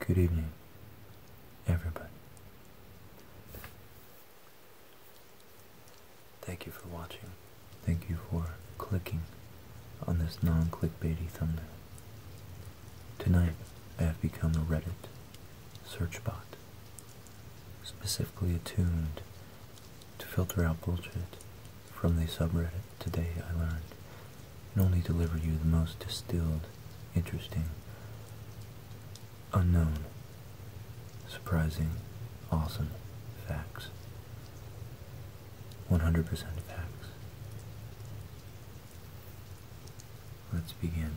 Good evening, everybody. Thank you for watching. Thank you for clicking on this non-clickbaity thumbnail. Tonight, I have become a Reddit search bot, specifically attuned to filter out bullshit from the subreddit, today I learned and only deliver you the most distilled, interesting, unknown, surprising, awesome facts. 100% facts. Let's begin.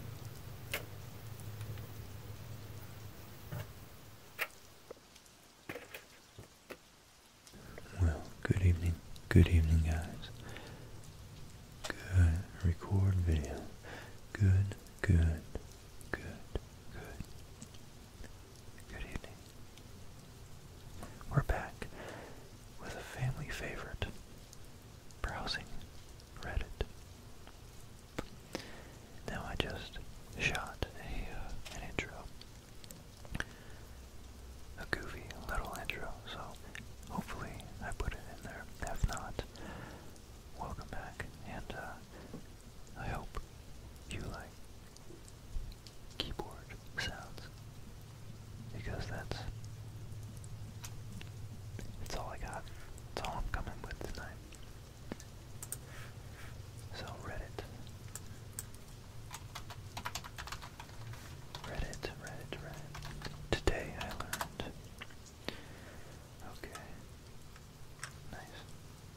Well, good evening. Good evening, guys. Good. Record video. Good, good, good, good. Good evening. We're back with a family favorite. Browsing Reddit. Now I just shot a, uh, an intro a goofy little intro, so hopefully I put it in there. If not, welcome back, and uh, I hope you like keyboard sounds because that's it's all I got. That's all I'm coming with tonight. So Reddit Reddit, Reddit, Reddit. Today I learned. Okay. Nice.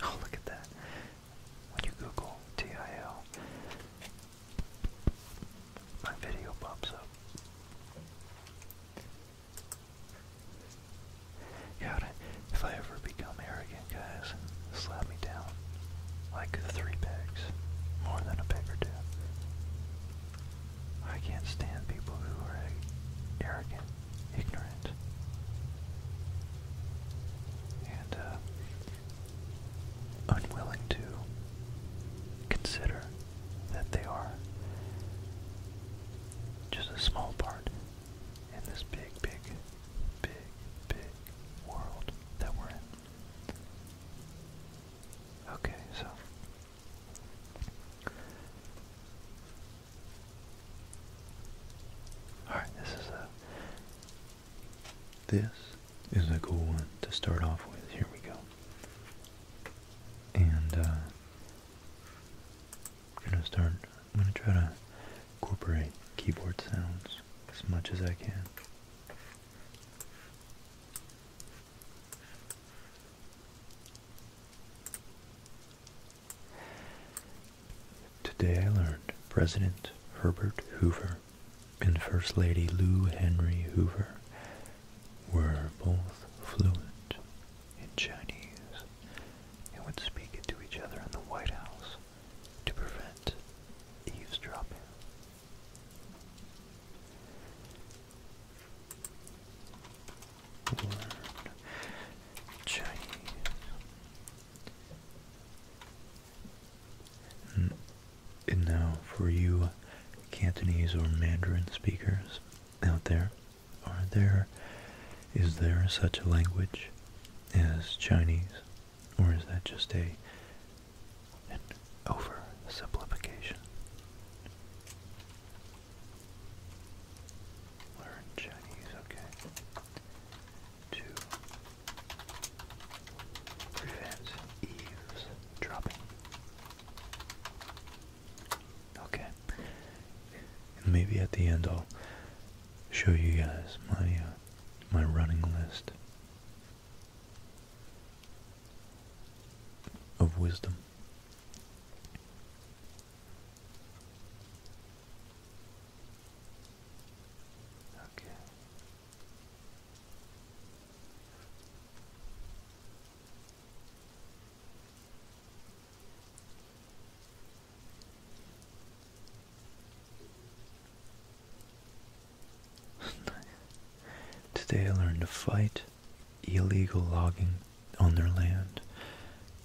Oh, look at that. When you Google TIL, my video pops up. Yeah, if I ever become arrogant, guys, slap me down like three pegs, more than a peg or two. I can't stand people who are arrogant, ignorant. And uh, unwilling to consider that they are just a small part in this big, big, big, big world that we're in. Okay, so Alright, this is a this is a cool one to start off with. Here we go. And uh, I'm gonna start I'm gonna try to incorporate keyboard sounds as much as I can. Today I learned President Herbert Hoover and First Lady Lou Henry Hoover were both fluent in Chinese and would speak it to each other in the White House to prevent eavesdropping. Chinese. And now for you Cantonese or Mandarin speakers out there, are there is there such a language as Chinese or is that just a and oversimplification. Learn Chinese, okay. To prevent eaves Okay. And maybe at the end I'll show you guys my uh, my running list of wisdom. Okay. Today I learned to fight illegal logging on their land.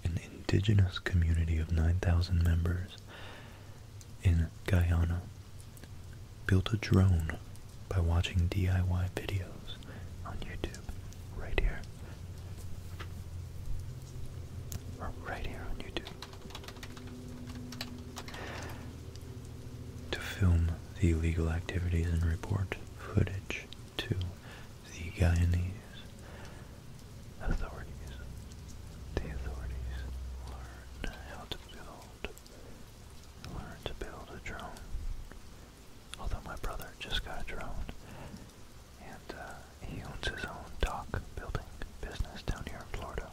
An indigenous community of 9,000 members in Guyana built a drone by watching DIY videos on YouTube right here. right here on YouTube to film the illegal activities and report footage to the Guyanese authorities. The authorities learn how to build, learn to build a drone. Although my brother just got a drone, and uh, he owns his own dock building business down here in Florida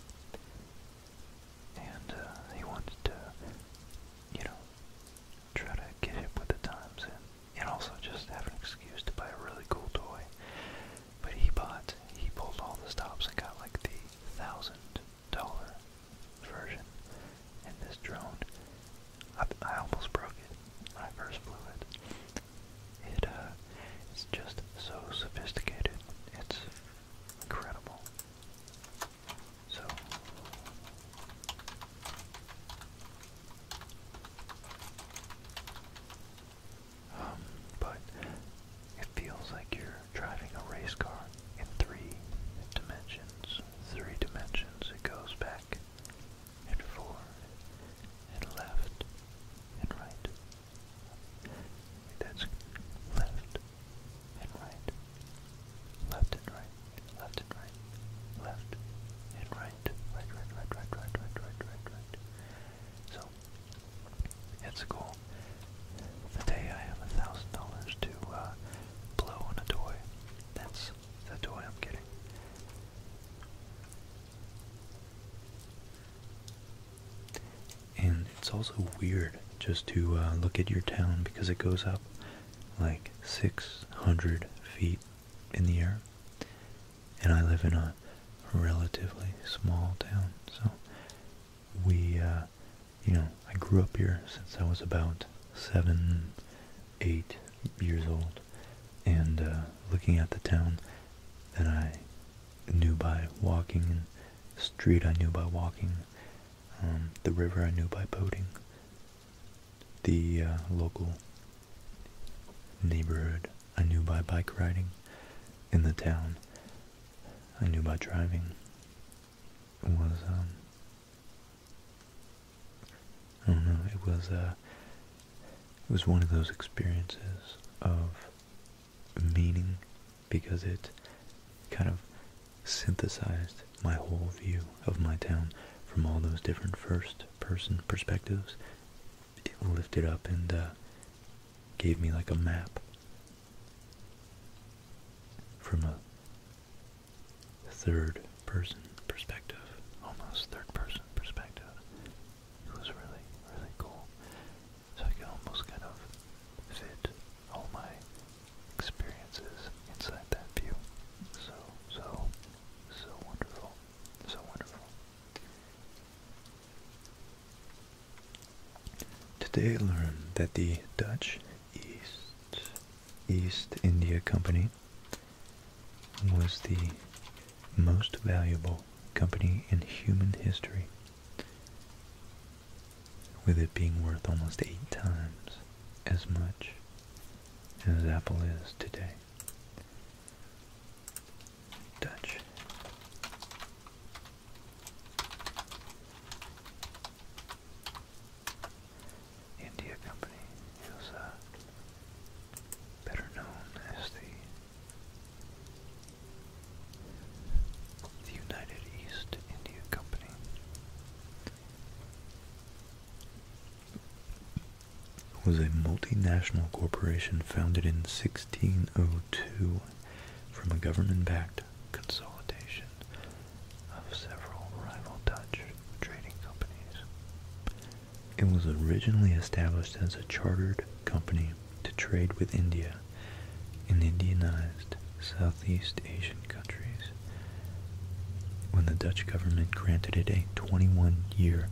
and uh, he wanted to, you know, try to get hip with the times and, and also just have an excuse to buy a really cool toy. But he bought, he pulled all the stops and got like the thousand dollar version. And this drone, I, I almost broke it when I first flew it. It, uh, it's just so sophisticated. It's Incredible. So um, but it feels like you're driving a race car in three dimensions. Three dimensions. It goes back and forward and left and right that's left and right, left and right, left and right, left and right, right, right, right, right, right, right, right, right, right. So, at school, the day I have a thousand dollars to uh, blow on a toy, that's the toy I'm getting. And it's also weird just to uh, look at your town because it goes up like 600 feet in the air. And I live in a relatively small town, so we, uh, you know, I grew up here since I was about seven, eight years old, and uh, looking at the town that I knew by walking, the street I knew by walking, um, the river I knew by boating, the uh, local neighborhood I knew by bike riding, in the town I knew by driving was, um, I don't know, it was, uh, it was one of those experiences of meaning because it kind of synthesized my whole view of my town from all those different first person perspectives. It lifted up and uh, gave me like a map from a third person perspective, almost third person perspective. It was really, really cool. So I could almost kind of fit all my experiences inside that view. So, so, so wonderful. So wonderful. Today I learned that the Dutch East India Company was the most valuable company in human history, with it being worth almost eight times as much as Apple is today. Dutch. India Company is uh, better known as the the United East India Company was a multinational corporation founded in 1602 from a government-backed consolidation of several rival Dutch trading companies. It was originally established as a chartered company to trade with India and Indianized Southeast Asian countries when the Dutch government granted it a 21-year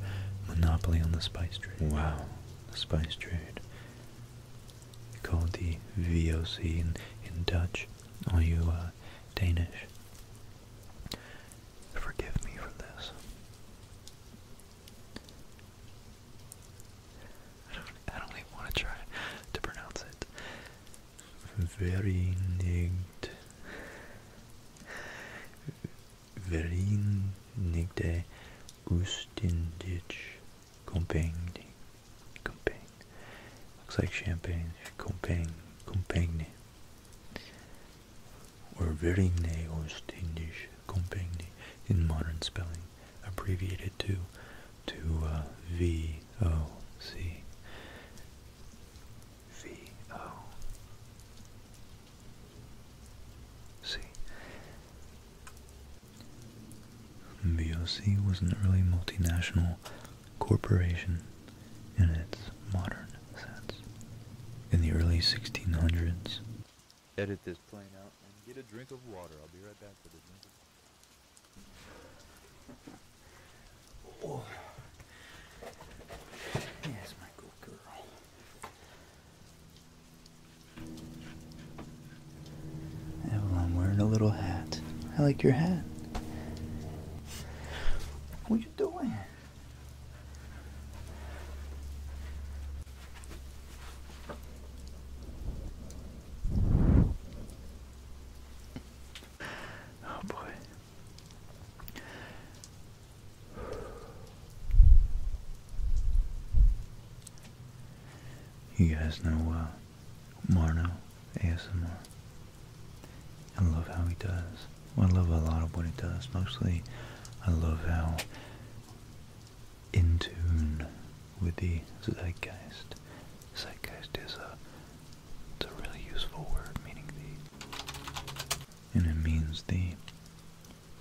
monopoly on the spice trade. Wow. The spice trade. Called the VOC in, Dutch, all you uh, Danish. Forgive me for this. I don't, I don't even want to try to pronounce it. Vereinigd. Vereinigde Oostindische Compagnie. Compagne. Looks like champagne. Compagne. Compagne. Or Vereinigde Oostindische compagnie in modern spelling, abbreviated to to uh, V O C V O C. was an early multinational corporation in its modern sense. In the early 1600s, edit this plane out and get a drink of water. I'll be right back for this. Yes, my good girl. Evelyn wearing a little hat. I like your hat. What are you doing? Oh boy. You guys know uh, Marno ASMR. I love how he does. I love a lot of what he does. Mostly, I love how in tune with the zeitgeist. Zeitgeist is a, it's a really useful word, meaning the, and it means the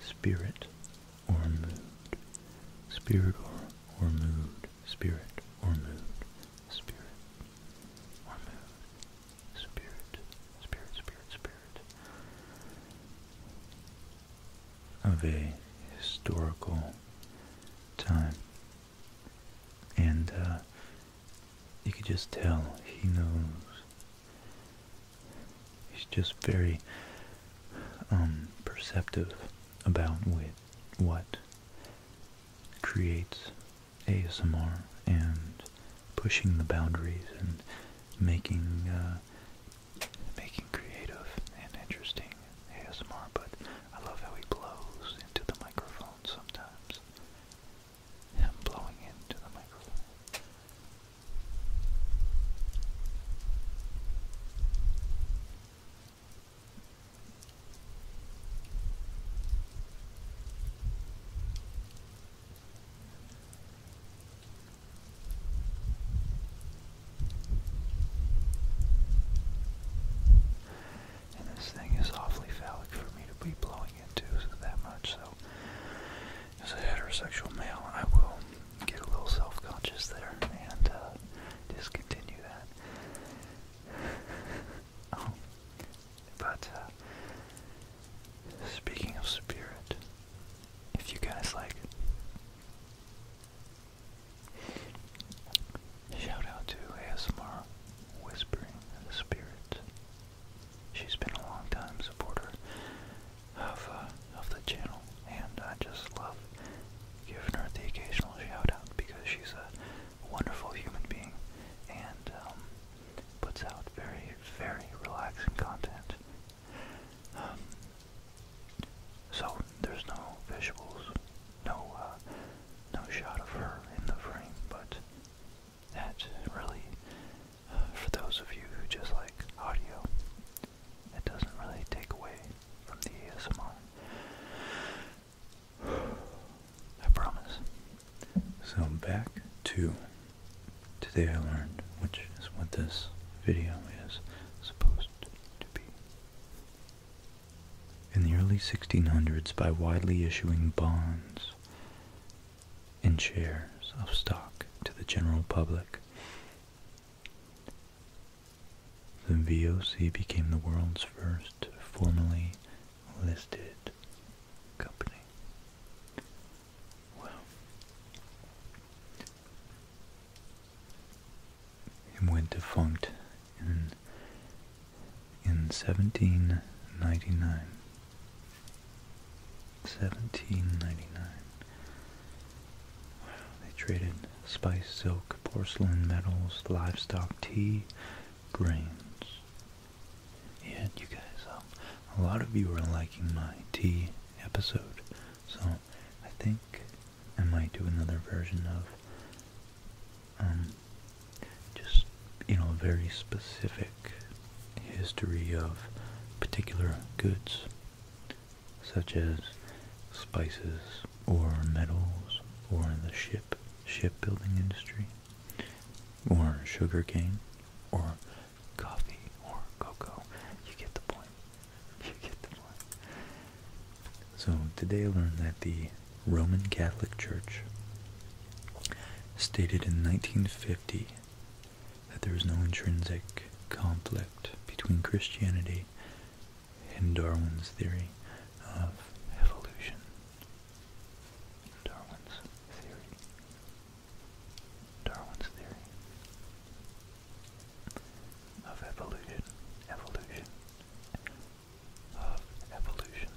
spirit or mood. Spirit or, or mood. Spirit or mood. Spirit or mood. Spirit. Spirit, spirit, spirit of a historical time. And uh, you could just tell he knows. He's just very um, perceptive about what creates ASMR and pushing the boundaries and making uh, making creative and interesting ASMR, but I love how he blows into the microphone sometimes. Him blowing into the microphone. And this thing is awfully phallic for me to be blowing into that much. So, as a heterosexual male, I will get a little self-conscious there and uh, discontinue that. Um, but uh, speaking of spirit, if you guys like. Shout out to ASMR Whispering Spirit. She's been a long time supporter of uh, of the channel, and I just love giving her the occasional shout out because she's a wonderful human being and um, puts out very very relaxing content um, so there's no visuals, no uh, no shot of her in the frame, but that really, uh, for those of you who just like audio, it doesn't really take away from the ASMR. I promise. So back to Today I learned, which is what this video is supposed to be. In the early 1600s, by widely issuing bonds and shares of stock to the general public, the VOC became the world's first formally listed company. Well, it went defunct in in 1799. 1799. they traded spice, silk, porcelain, metals, livestock, tea, grains. Yeah, you guys, um, a lot of you are liking my tea episode. So I think I might do another version of um, just, you know, very specific history of particular goods, such as spices or metals or the ship, shipbuilding industry, or sugarcane, or coffee or cocoa. You get the point. You get the point. So today I learned that the Roman Catholic Church stated in 1950 that there is no intrinsic conflict between Christianity and Darwin's theory of evolution. Darwin's theory of evolution, evolution, of evolution.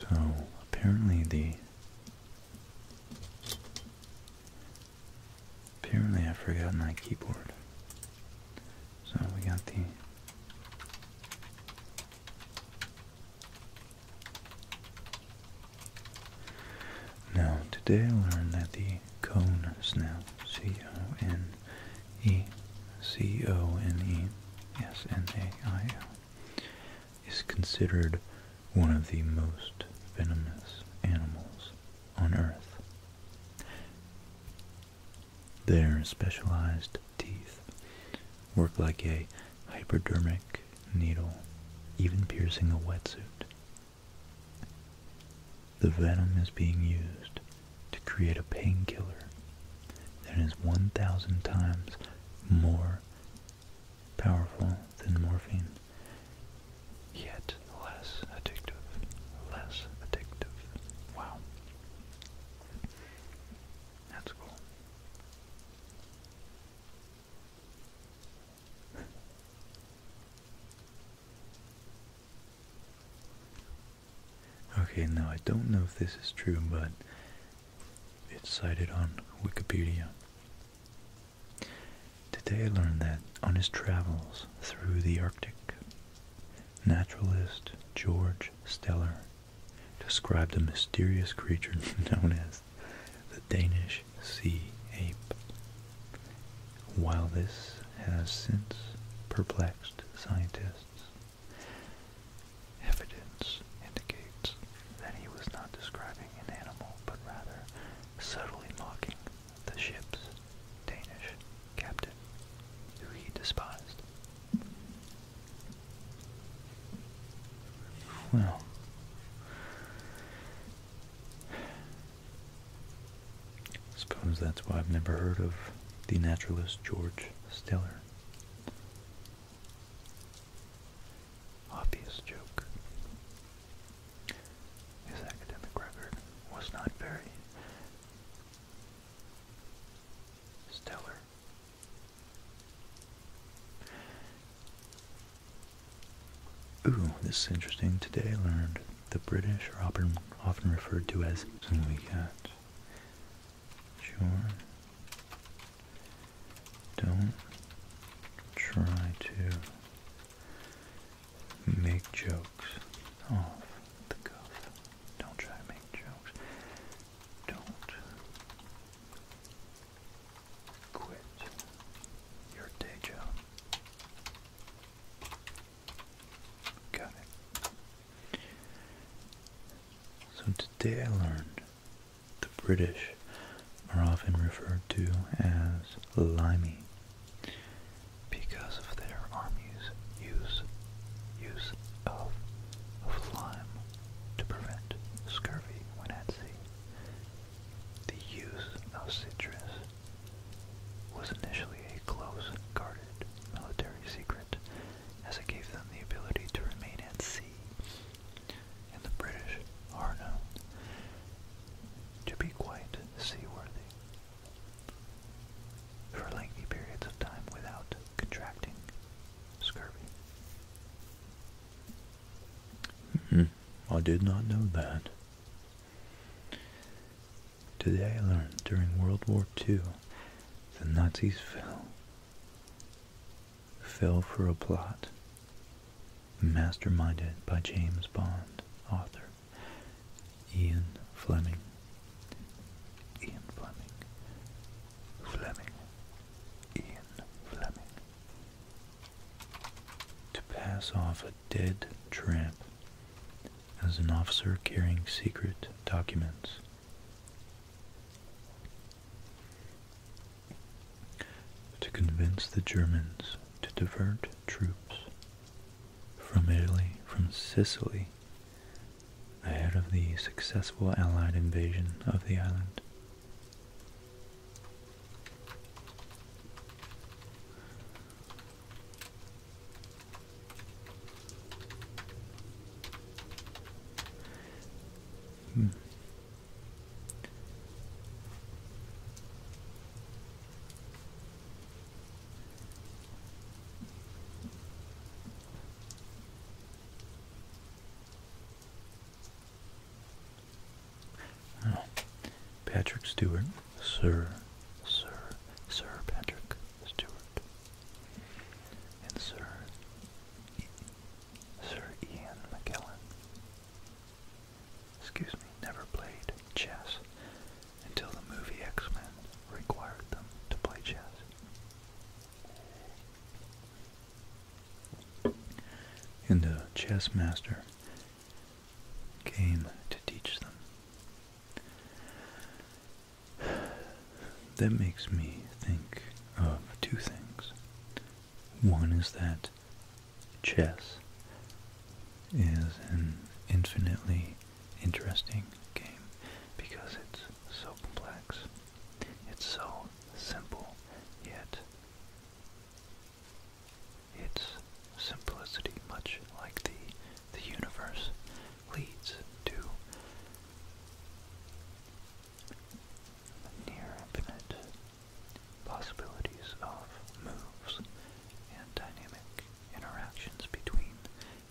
So apparently the Apparently I forgot my keyboard. So we got the now, today I learned that the cone snout, C-O-N-E, C-O-N-E-S-N-A-I-L, is considered one of the most venomous animals on Earth. Their specialized teeth work like a hypodermic needle, even piercing a wetsuit. The venom is being used to create a painkiller that is 1,000 times more powerful than morphine yet less addictive. Less addictive. Wow. That's cool. Okay, now I don't know if this is true, but it's cited on Wikipedia. Today I learned that on his travels through the Arctic, naturalist George Steller described a mysterious creature known as the Danish sea ape. While this has since perplexed scientists, evidence indicates that he was not describing an animal but rather subtly mocking the ship's Danish captain, who he despised. Well, suppose that's why I've never heard of the naturalist George Steller. Obvious joke. His academic record was not very stellar. Ooh, this is interesting. Today I learned the British are often, often referred to as and we got sure don't try to make jokes off the cuff. Don't try to make jokes. Don't quit your day job. Got it. So today I learned the British are often referred to as limey because of their armies' use use of, of lime to prevent scurvy when at sea. The use of citrus was initially a close-guarded military secret, as it gave them the ability to remain at sea. And the British are known to be quite seaworthy. For lengthy periods of time without contracting scurvy. Hmm. I did not know that. Today I learned during World War II the Nazis fell. Fell for a plot masterminded by James Bond, author Ian Fleming. Ian Fleming. Fleming. Ian Fleming. To pass off a dead tramp as an officer carrying secret documents. To convince the Germans to divert troops from Italy, from Sicily, ahead of the successful Allied invasion of the island. Hmm. Oh, Patrick Stewart, Sir, Sir, Sir Patrick Stewart, and Sir, Sir Ian McKellen excuse me, never played chess until the movie X-Men required them to play chess. And the chess master came to teach them. That makes me think of two things. One is that chess is an infinitely interesting game because it's so complex. It's so simple, yet its simplicity, much like the, the universe, leads to near infinite possibilities of moves, and dynamic interactions between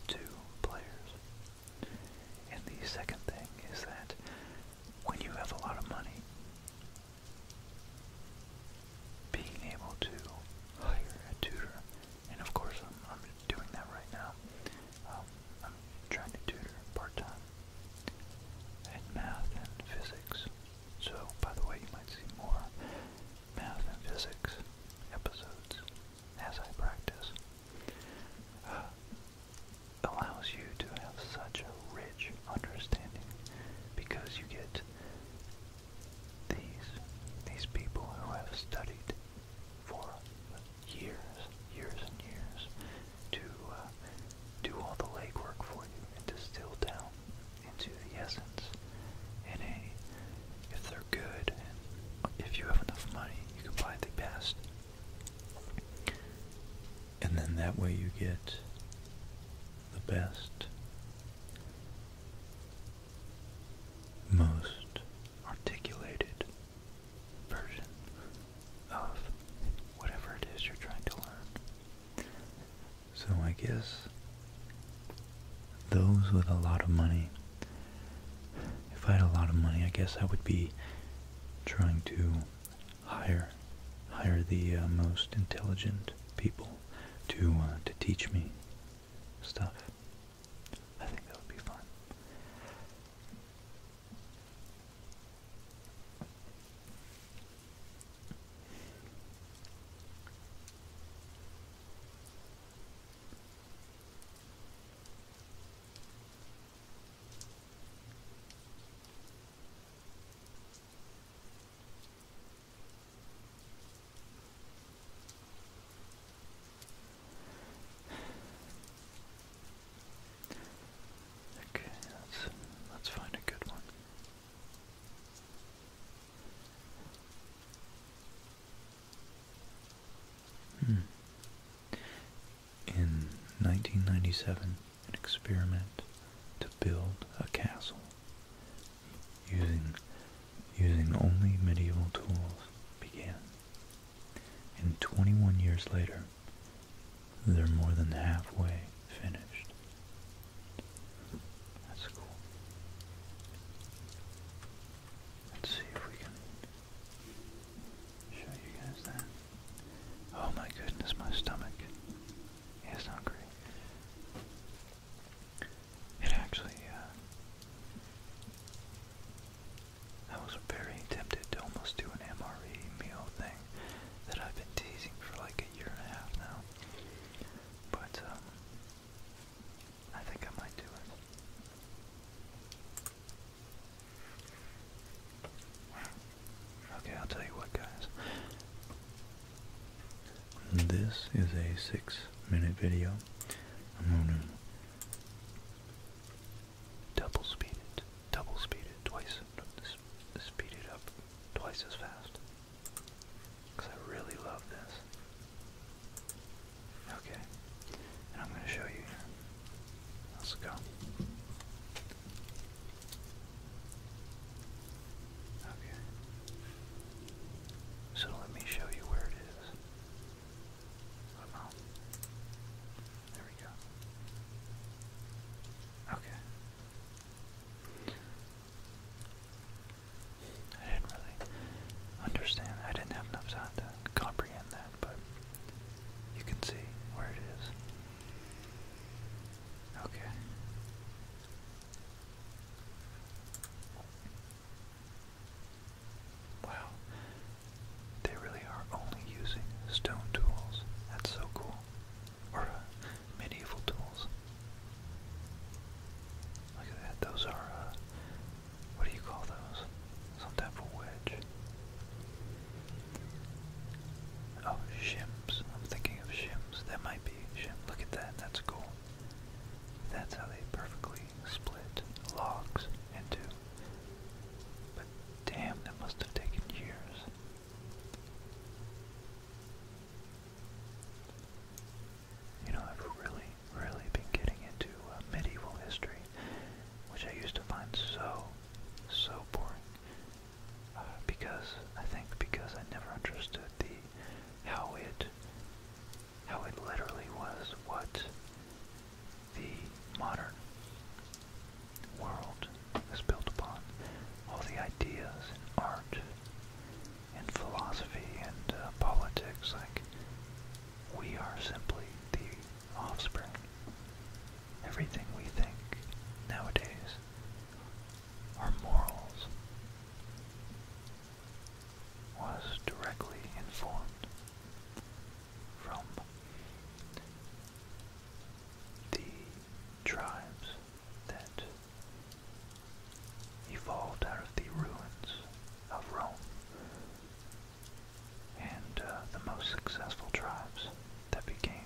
two players. And the second thing is that when you have a lot of money, being able to hire a tutor, and of course I'm, doing that right now, um, I'm trying to tutor part-time in math and physics so, by the way, you might see more math and physics episodes as I practice. Uh, allows you to have such a rich understanding because you get these these people who have studied for years, years and years to uh, do all the legwork for you and distill down into the essence and a if they're good and if you have enough money you can buy the best and then that way you get the best most articulated version of whatever it is you're trying to learn so I guess those with a lot of money, if I had a lot of money, I guess I would be trying to hire hire the uh, most intelligent people to uh, to teach me stuff. I think that would be fun. Okay, let's let's find a good one. Hmm. In 1997, an experiment to build a castle using using only medieval tools began. And 21 years later, they're more than halfway finished. That's cool. Let's see if we can show you guys that. Oh my goodness, my stomach is hungry. It actually, uh, I was very tempted to almost do an MRE meal thing that I've been teasing for like a year and a half now. But um, I think I might do it. Okay, I'll tell you what, guys. This is a six-minute video. I'm gonna double speed it, double speed it twice. Speed it up twice as fast. Because I really love this. Okay. And I'm going to show you Let's go. Okay. So let me show you where it is. There we go. Okay. I didn't really understand. I didn't have enough time to comprehend that, but you can see where it is. Okay. Wow. They really are only using stone tools. That's so cool or uh, medieval tools. Look at that. Those are, uh, what do you call those? Some type wedge. Oh, shims. I'm thinking of shims. That might be shims. Look at that. That's cool. That's how they perfectly split logs into. But damn, that must have taken years. You know, I've really, really been getting into uh, medieval history, which I used to find so, so boring. Uh, because I think because I never understood the how it how it literally was what the modern world is built upon. All the ideas in art and philosophy and uh, politics, like, we are simply the offspring. Everything we think nowadays our morals was directly informed from the tribes that evolved out of the ruins of Rome. And uh, the most successful tribes that became,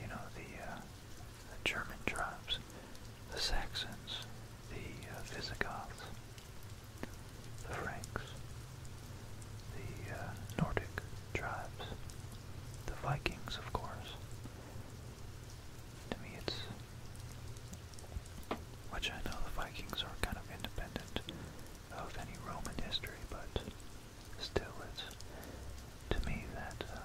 you know, the, uh, German tribes, the Saxons, the uh, Visigoths, the Franks, the Nordic tribes, the Vikings, of course, to me, it's. Which I know the Vikings are kind of independent of any Roman history, but still, it's to me that uh,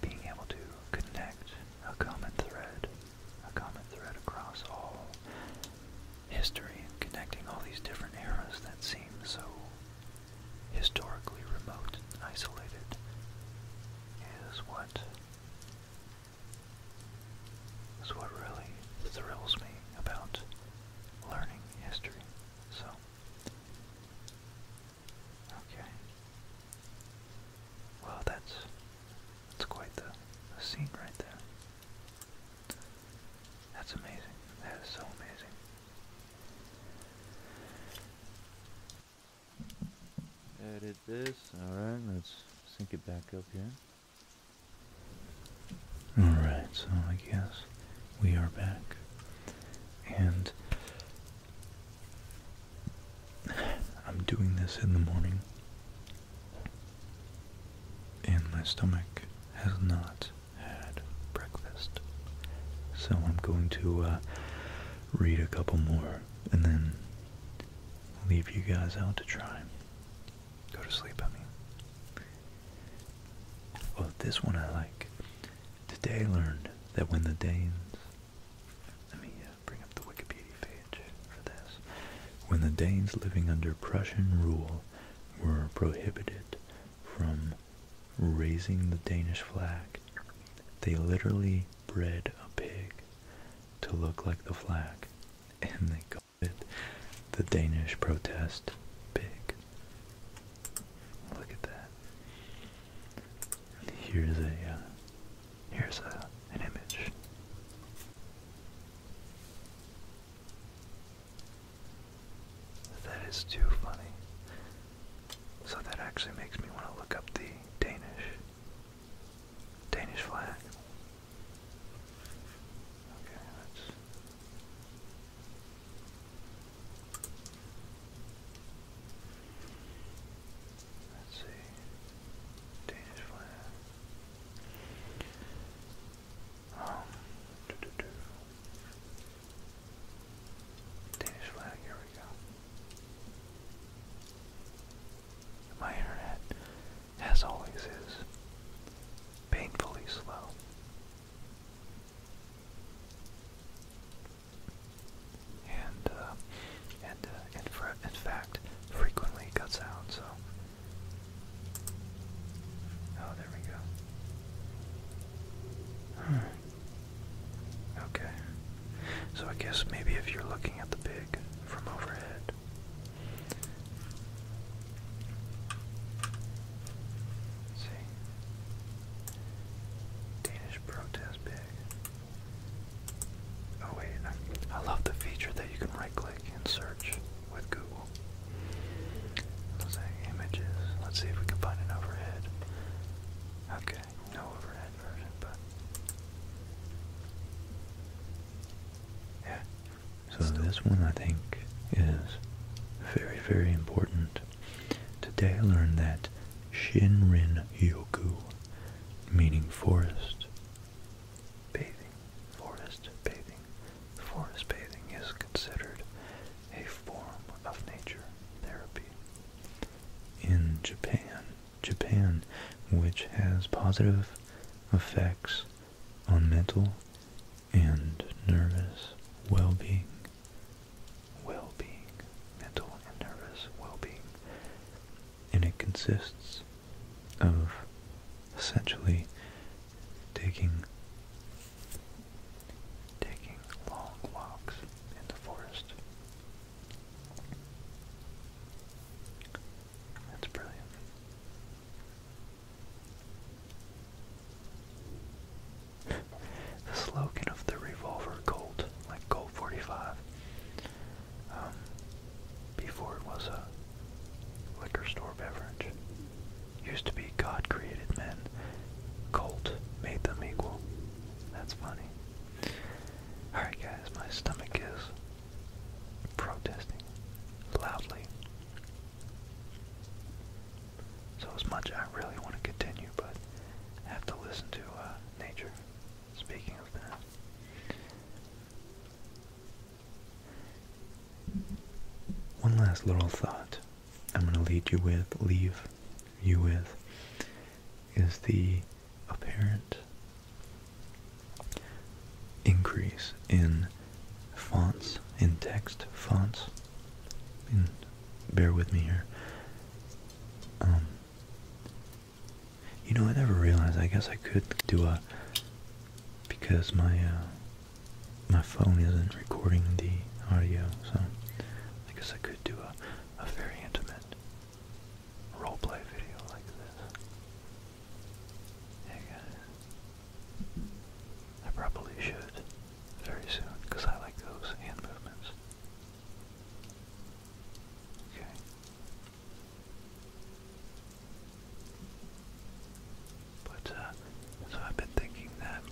being able to connect a common thread, a common thread across all history, and connecting all these different eras that seem so historically remote and isolated is what is what really thrills me about learning history. So okay. Well that's that's quite the, scene right there. That's amazing. That is so amazing. Edit this. Alright, let's sync it back up here. Alright, so I guess we are back. And I'm doing this in the morning. And my stomach has not had breakfast. So I'm going to uh, read a couple more and then leave you guys out to try. Go to sleep, I mean. Well, this one I like. Today learned that when the Danes... Let me uh, bring up the Wikipedia page for this. When the Danes living under Prussian rule were prohibited from raising the Danish flag. They literally bred a pig to look like the flag, and they called it the Danish protest pig. Look at that. Here's a uh, here's a, an image. That is too funny. So that actually makes me want to look up the Danish Danish flag. Okay, that's Let's see. Danish flag. Um, doo -doo -doo. Danish flag, here we go. My internet, as always, is painfully slow. And, uh, and, uh, in fact, frequently cuts out, so. Oh, there we go. Hmm. Okay. So I guess maybe if you're looking at the pig from overhead. let see. Danish protest pig. Oh wait, I love the feature that you can right click and search with Google. Mosaic images. Let's see if we can find an overhead. Okay, no overhead version, but yeah. So this one I think is very, very important. Today I learned that Shinrin Yoku, meaning forest bathing, forest bathing. Forest bathing is considered a form of nature therapy. In Japan, Japan, which has positive effects on mental and nervous well-being, well-being, mental and nervous well-being, and it consists of essentially taking taking long walks in the forest. That's brilliant. the slogan of the revolver Colt, like Colt 45, um, before it was a liquor store beverage, Used to be God created men. Cult made them equal. That's funny. Alright guys, my stomach is protesting loudly. So as much I really want to continue, but I have to listen to uh, nature. Speaking of that. One last little thought I'm going to lead you with, leave you with, is the apparent increase in fonts, in text fonts. And bear with me here. Um, you know, I never realized. I guess I could do a because my uh, my phone isn't recording the audio, so I guess I could do a, very intimate roleplay video like this. Hey guys, I probably should very soon because I like those hand movements. Okay. But uh, so I've been thinking that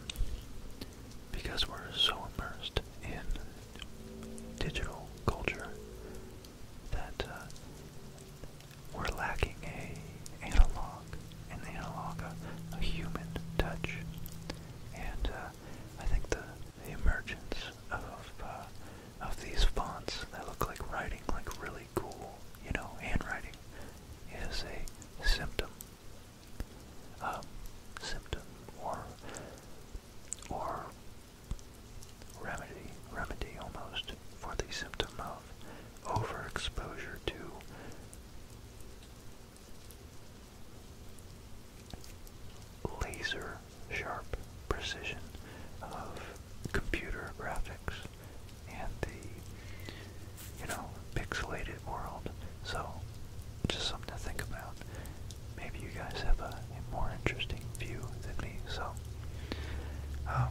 because we're so immersed in digital culture that uh, we're lacking a analog, an analog, a, human touch, and uh, I think the, emergence of of these fonts that look like writing, like really cool, you know, handwriting, is a symptom um, symptom or or remedy remedy almost for the symptom of overexposure to laser sharp precision of computer graphics and the, you know, pixelated world. So, just something to think about. Maybe you guys have a, a more interesting view than me. So, um,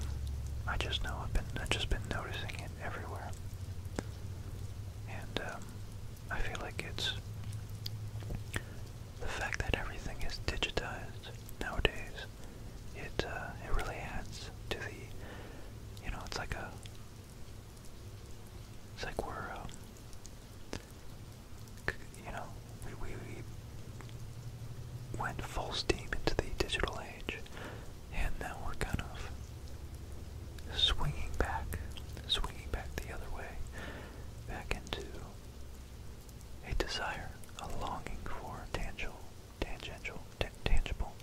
I just know I've been I've just been noticing it everywhere, and um, I feel like it's the fact that everything is digitized nowadays. It uh, it really adds to the, you know, it's like a it's like we're, um, you know, we, we, went full steam into the digital age, and now we're kind of swinging back, swinging back the other way, back into a desire, a longing for tangible, tangential, tangible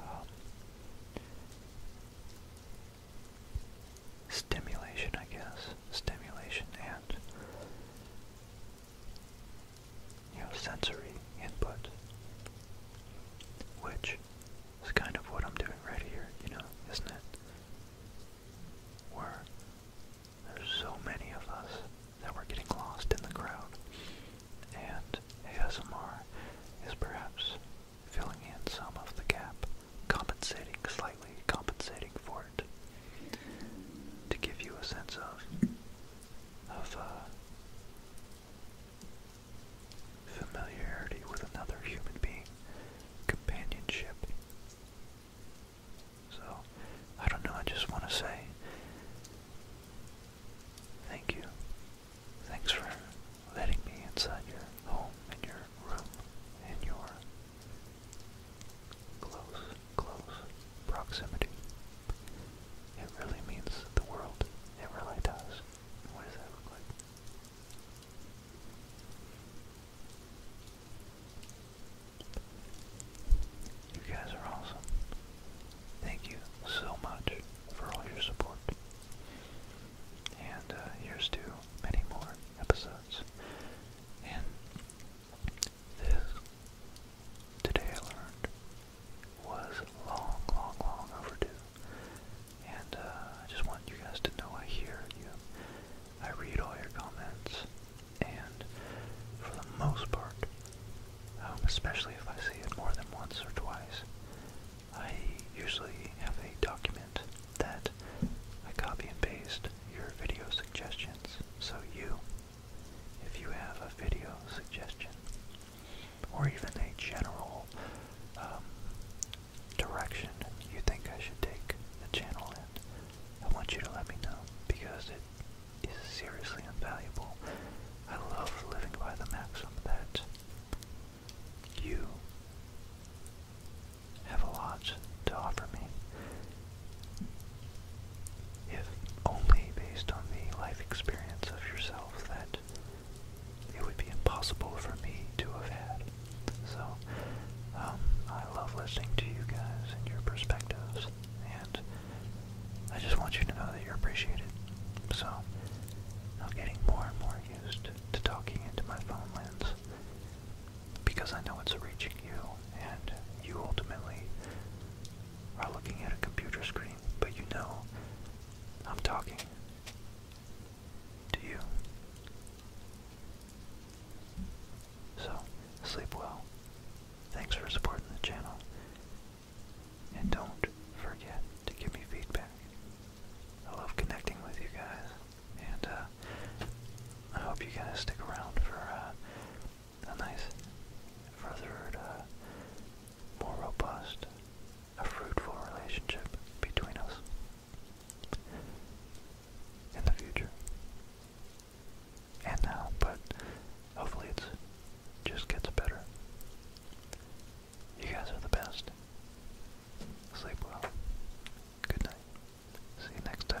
um, Stimulation, I guess. Stimulation and, you know, sensory input. Which is kind of what I'm doing right here, you know, isn't it? Where there's so many of us that we're getting lost in the crowd and ASMR is perhaps filling in some of the gap, compensating slightly, compensating for it, to give you a sense of of uh, familiarity with another human being, companionship. So, I don't know, I just want to say Thank you. Thanks for letting me inside your home and your room and your close, close proximity. It really means the world. It really does. What does that look like? You guys are awesome. Thank you so much for all your support. And uh, here's to many more episodes. And this, today I learned, was long, long, long overdue. And uh, I just want you guys to know I hear you. I read all your comments. And for the most part, um, especially if I see it more than once or twice. I usually have a document that I copy and paste your video suggestions. So you, if you have a video suggestion, or even a general um, direction you think I should take the channel in, I want you to let me know because it is seriously invaluable I love living by the maxim that you have a lot to offer me. If only based on the life experience of yourself that it would be impossible for me to have had. So, um, I love listening to you guys and your perspectives, and I just want you to know that you're appreciated. So, I'm getting more and more used to talking into my phone lens because I know it's reaching you, and you ultimately are looking at a computer screen, but you know I'm talking to you. So, sleep well. Thanks for supporting the channel. And don't forget to give me feedback. I love connecting with you guys. And uh, I hope you guys stick around for uh, a nice, furthered, uh, more robust, a fruitful relationship between us in the future. And now, but Hopefully it's just gets better. You guys are the best. Sleep well. Good night. See you next time.